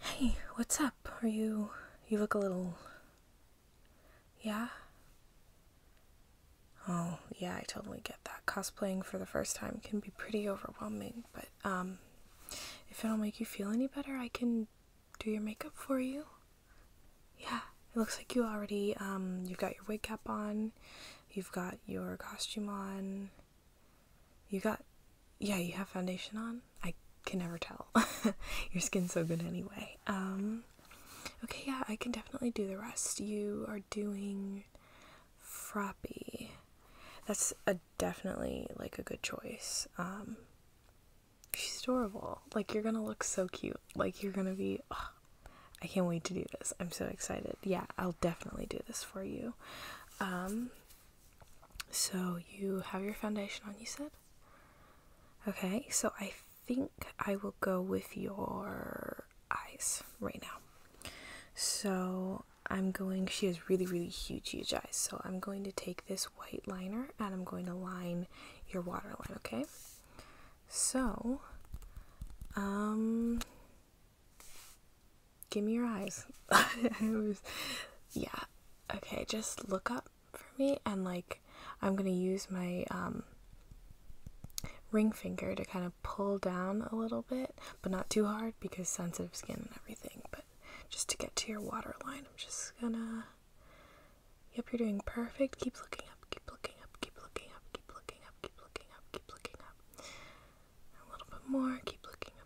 Hey, what's up? Are you. You look a little. Yeah? Oh, yeah, I totally get that. Cosplaying for the first time can be pretty overwhelming, but, um, if it'll make you feel any better, I can do your makeup for you. Yeah, it looks like you already, um, you've got your wig cap on, you've got your costume on. You got, yeah, you have foundation on? I can never tell. Your skin's so good anyway. Um, okay, yeah, I can definitely do the rest. You are doing Froppy. That's a definitely like a good choice. Um, she's adorable. Like, you're gonna look so cute. Like, you're gonna be. I can't wait to do this. I'm so excited. Yeah, I'll definitely do this for you. Um, so you have your foundation on, you said? Okay, so I think I will go with your eyes right now. So I'm going, she has really, really huge, huge eyes. So I'm going to take this white liner and I'm going to line your waterline, okay? So, um, give me your eyes. was, yeah. Okay, just look up for me and like I'm gonna use my um, ring finger to kind of pull down a little bit, but not too hard because sensitive skin and everything. But just to get to your water line, I'm just gonna. Yep, you're doing perfect. Keep looking up, keep looking up, keep looking up, keep looking up, keep looking up, keep looking up. A little bit more, keep looking up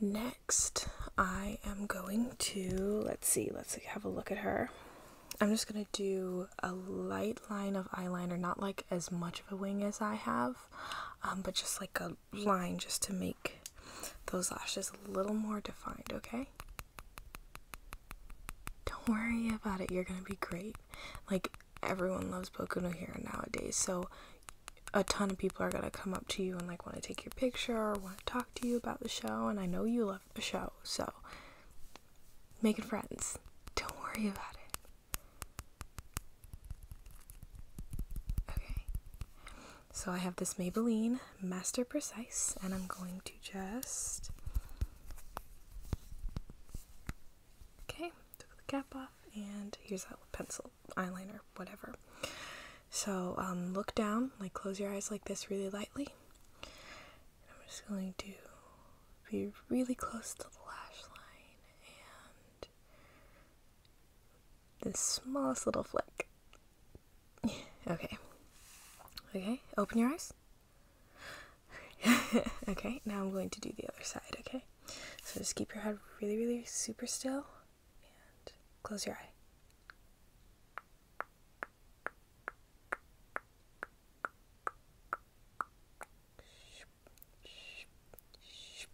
Next, I am going to, let's see, let's have a look at her. I'm just going to do a light line of eyeliner, not like as much of a wing as I have, um, but just like a line just to make those lashes a little more defined, okay? Don't worry about it, you're going to be great. Like, everyone loves Boku here nowadays, so a ton of people are going to come up to you and like want to take your picture or want to talk to you about the show, and I know you love the show, so making friends. Don't worry about it. Okay. So I have this Maybelline Master Precise, and I'm going to just. Okay, took the cap off, and here's that pencil, eyeliner, whatever. So um, look down, like close your eyes like this really lightly. I'm just going to be really close to the lash line and the smallest little flick. okay. Okay, open your eyes. okay, now I'm going to do the other side, okay? So just keep your head really, really super still close your eye.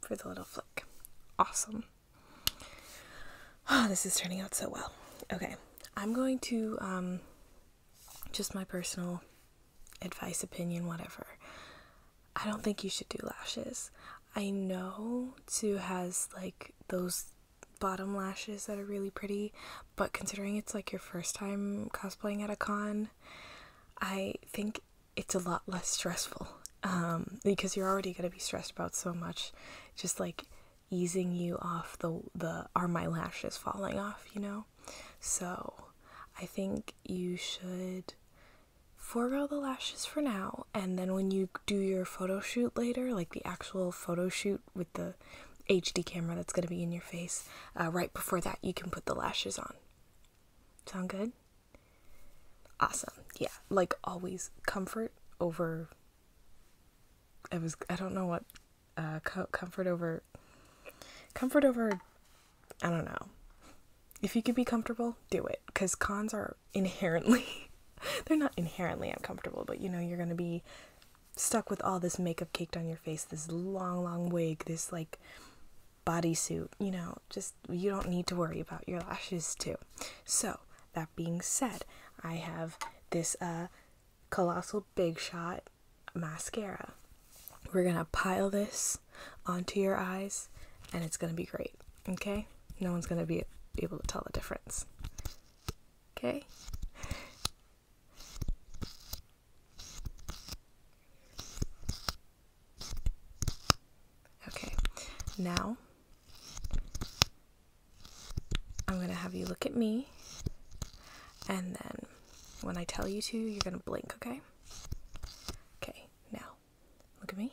For the little flick. Awesome. Oh, this is turning out so well. Okay, I'm going to, um, just my personal advice, opinion, whatever. I don't think you should do lashes. I know Sue has like those bottom lashes that are really pretty, but considering it's like your first time cosplaying at a con, I think it's a lot less stressful um, because you're already going to be stressed about so much, just like easing you off the the are my lashes falling off, you know. So I think you should forego the lashes for now and then when you do your photo shoot later, like the actual photo shoot with the HD camera that's going to be in your face, uh, right before that, you can put the lashes on. Sound good? Awesome. Yeah, like always, comfort over. I was I don't know what, uh, comfort over. Comfort over, I don't know. If you can be comfortable, do it. Cause cons are inherently they're not inherently uncomfortable, but you know you're going to be stuck with all this makeup caked on your face, this long long wig, this like bodysuit, you know, just you don't need to worry about your lashes too. So, that being said, I have this uh colossal big shot mascara. We're going to pile this onto your eyes and it's going to be great. Okay? No one's going to be able to tell the difference. Okay. Okay, now I'm gonna have you look at me, and then when I tell you to, you're gonna blink, okay? Okay, now look at me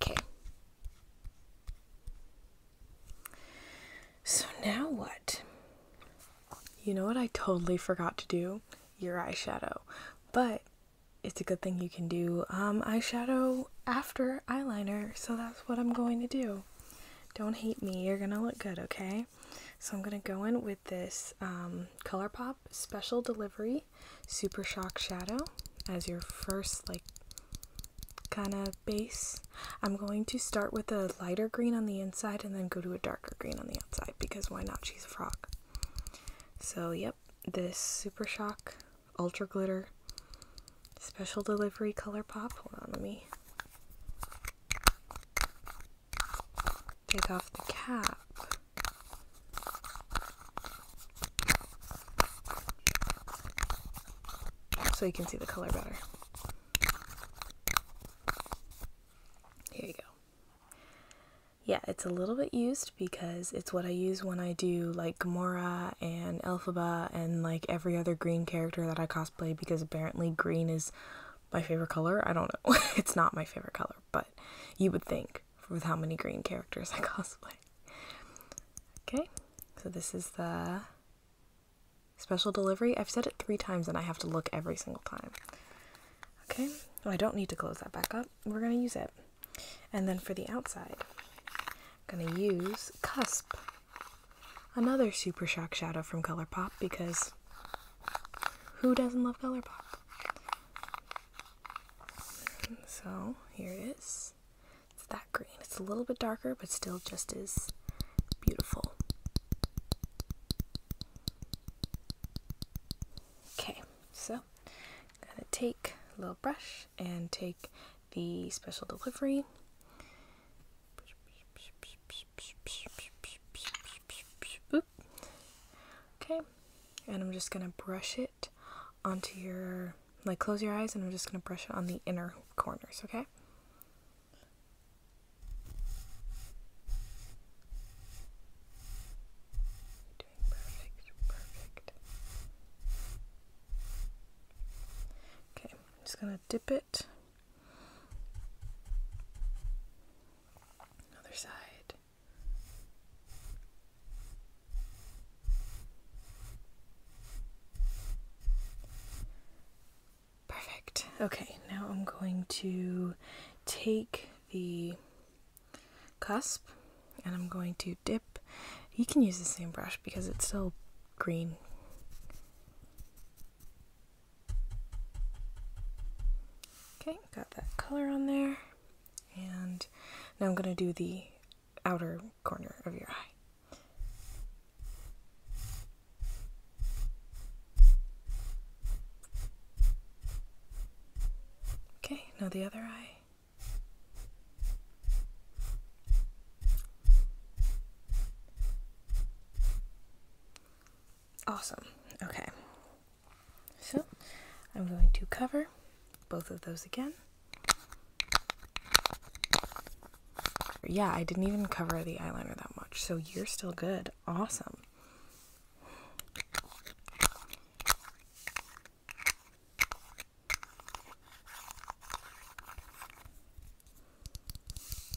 Okay. So now what? You know what I totally forgot to do? Your eyeshadow. But it's a good thing you can do um, eyeshadow after eyeliner, so that's what I'm going to do don't hate me. You're gonna look good, okay? So I'm gonna go in with this um, ColourPop Special Delivery Super Shock Shadow as your first, like, kind of base. I'm going to start with a lighter green on the inside and then go to a darker green on the outside because why not? She's a frog. So, yep, this Super Shock Ultra Glitter Special delivery color pop. Hold on, let me take off the cap. So you can see the color better. Here you go. Yeah, it's a little bit used because it's what I use when I do like Gamora and Elphaba and like every other green character that I cosplay because apparently green is my favorite color. I don't know. it's not my favorite color, but you would think with how many green characters I cosplay. Okay, so this is the special delivery. I've said it three times and I have to look every single time. Okay, oh, I don't need to close that back up. We're going to use it. And then for the outside, going to use Cusp, another Super Shock Shadow from Colour Pop because who doesn't love Colour Pop? So here it is. It's that green. It's a little bit darker, but still just as beautiful. Okay, so I'm going to take a little brush and take the special delivery Okay, and I'm just gonna brush it onto your like close your eyes, and I'm just gonna brush it on the inner corners. Okay. perfect, perfect. Okay, I'm just gonna dip it it. side. Perfect. Okay, now I'm going to take the cusp and I'm going to dip. You can use the same brush because it's still green Okay, got that color on there. And now I'm going to do the outer corner of your eye. Okay, now the other eye. Awesome. Okay. So I'm going to cover both of those again. Yeah, I didn't even cover the eyeliner that much, so you're still good. Awesome.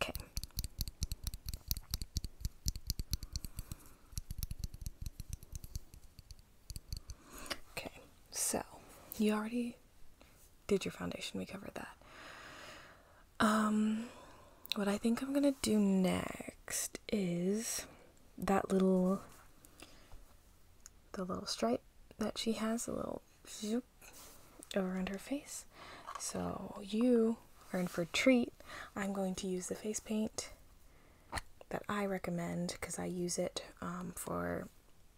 Okay. Okay, so you already did your foundation, we covered that. Um, what I think I'm gonna do next is that little, the little stripe that she has, a little zoop, around her face. So you are in for treat. I'm going to use the face paint that I recommend because I use it um, for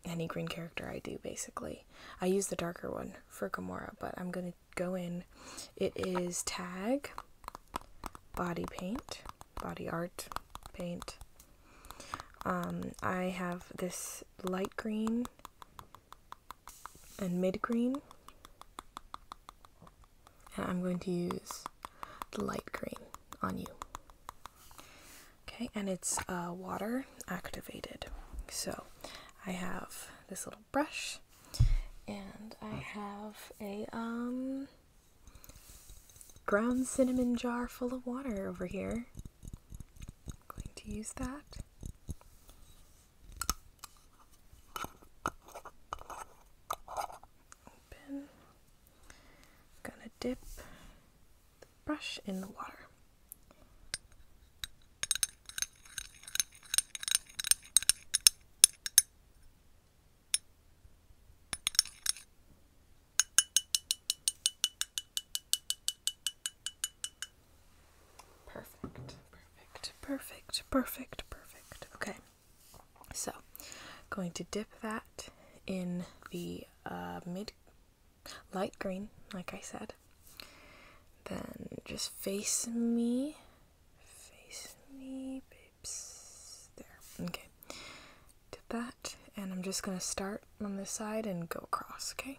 any green character I do basically. I use the darker one for Gamora, but I'm going to go in. It is Tag Body Paint, Body Art Paint. Um, I have this light green and mid green. And I'm going to use the light green on you. Okay, and it's uh, water activated. So I have this little brush and I have a um, ground cinnamon jar full of water over here. I'm going to use that. Open. I'm gonna dip the brush in the water. Perfect, perfect, perfect, perfect, perfect. Okay, so going to dip that in the uh, mid light green, like I said. Then just face me, face me, babes. There, okay. Dip that, and I'm just gonna start on this side and go across, okay?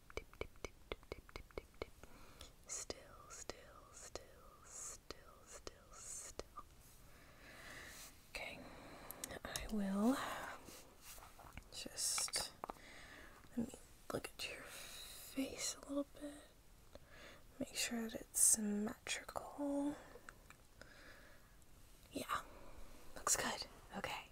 tip, tip, tip, tip, tip, tip, tip, tip, tip. Still, still, still, still, still, still. Okay, I will just let me look at your face a little bit. Make sure that it's symmetrical. Yeah, looks good. Okay.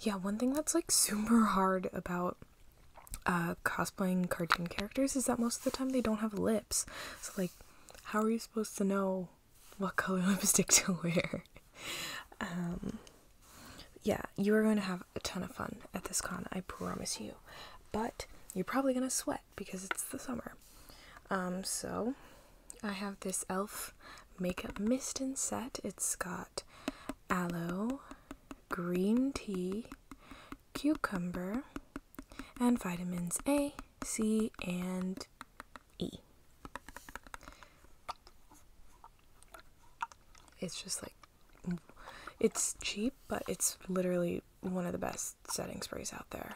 yeah, one thing that's like super hard about uh, cosplaying cartoon characters is that most of the time they don't have lips. So, like, how are you supposed to know what color lipstick to wear? Um, yeah, you are going to have a ton of fun at this con, I promise you. But you're probably going to sweat because it's the summer. Um, so I have this e.l.f. makeup mist and set. It's got aloe, green tea, cucumber, and vitamins A, C, and E. It's just like, it's cheap, but it's literally one of the best setting sprays out there.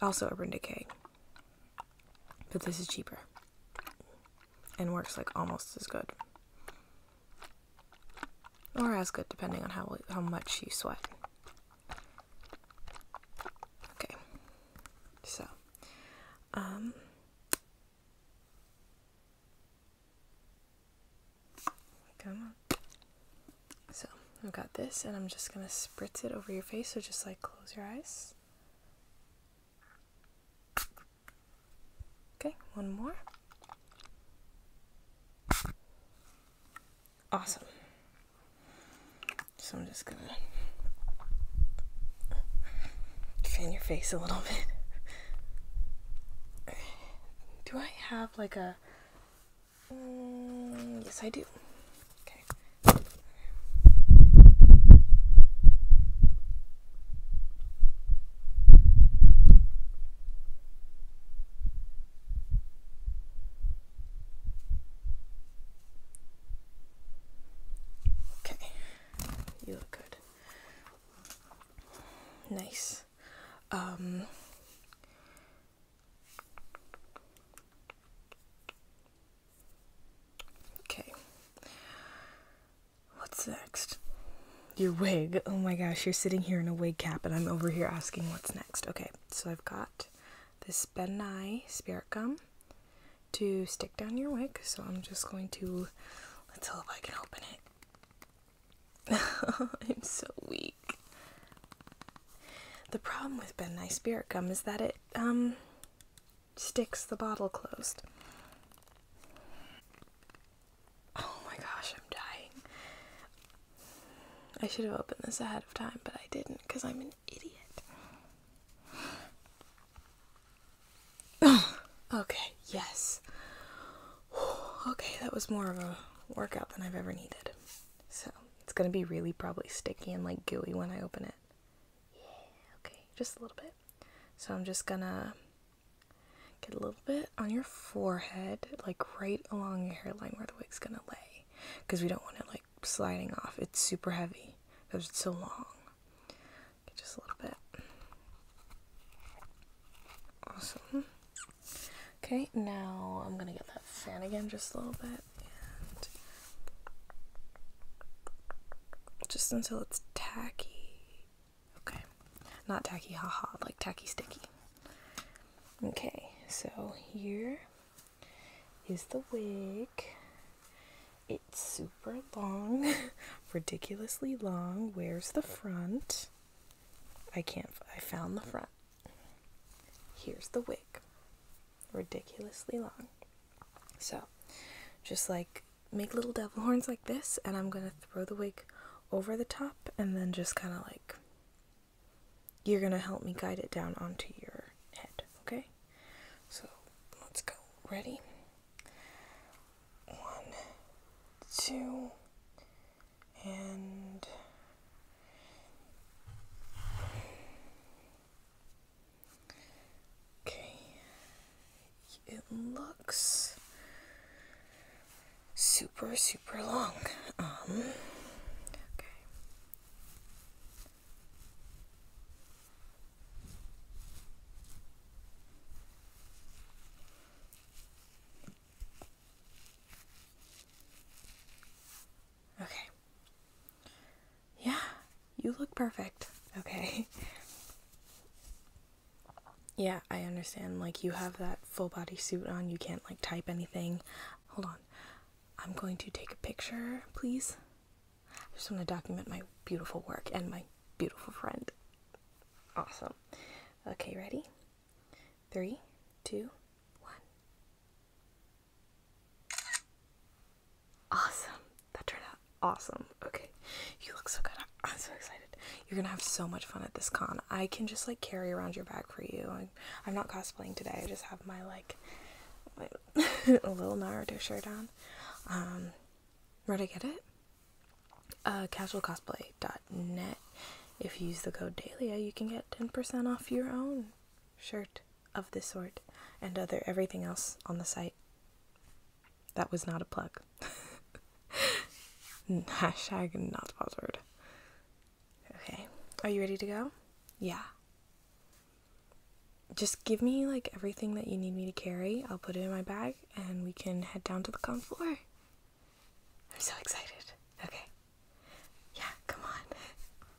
Also Urban Decay. But this is cheaper. And works like almost as good. Or as good, depending on how, how much you sweat. Okay. So. Um... Come on. So I've got this, and I'm just going to spritz it over your face. So just like close your eyes. Okay, one more. Awesome. So I'm just going to fan your face a little bit. Do I have like a Mm, yes, I do. Okay. Okay. You look good. Nice. Um Okay. What's next? Your wig. Oh my gosh, you're sitting here in a wig cap, and I'm over here asking what's next. Okay, so I've got this Beni spirit gum to stick down your wig. So I'm just going to, let's see if I can open it. I'm so weak. The problem with Ben Nye Spirit Gum is that it um, sticks the bottle closed. Oh my gosh, I'm dying. I should have opened this ahead of time, but I didn't because I'm an idiot. okay, yes. okay, that was more of a workout than I've ever needed. So, it's gonna be really probably sticky and like gooey when I open it. Yeah, okay, just a little bit. So I'm just gonna get a little bit on your forehead, like right along your hairline where the wig's gonna lay. Because we don't want it like sliding off. It's super heavy because it's so long. just a little bit. Awesome. Okay, now I'm gonna get that fan again just a little bit just until it's tacky. Okay, not tacky, haha, like tacky sticky. Okay, so here is the wig. It's super long, ridiculously long. Where's the front? I can't, I found the front. Here's the wig ridiculously long. So, just like make little devil horns like this, and I'm gonna throw the wig over the top, and then just kind of like you're gonna help me guide it down onto your head, okay? So, let's go. Ready? One, two, and Okay, it looks super, super long. Um, okay. Okay. Yeah, you look perfect. Okay. Yeah, I understand. Like, you have that full body suit on, you can't, like, type anything. Hold on. I'm going to take a picture, please. I just want to document my beautiful work and my beautiful friend. Awesome. Okay, ready? Three, two, one. Awesome. That turned out awesome. Okay. You look so good. I'm so excited. You're gonna have so much fun at this con. I can just like carry around your bag for you. I'm, not cosplaying today. I just have my like a little Naruto shirt on. Um, where'd I get it? Uh, casualcosplay.net. If you use the code DAILIA, you can get 10% off your own shirt of this sort and other everything else on the site. That was not a plug. Hashtag not sponsored. Okay, are you ready to go? Yeah. Just give me like everything that you need me to carry. I'll put it in my bag and we can head down to the con floor. I'm so excited. Okay. Yeah, come on.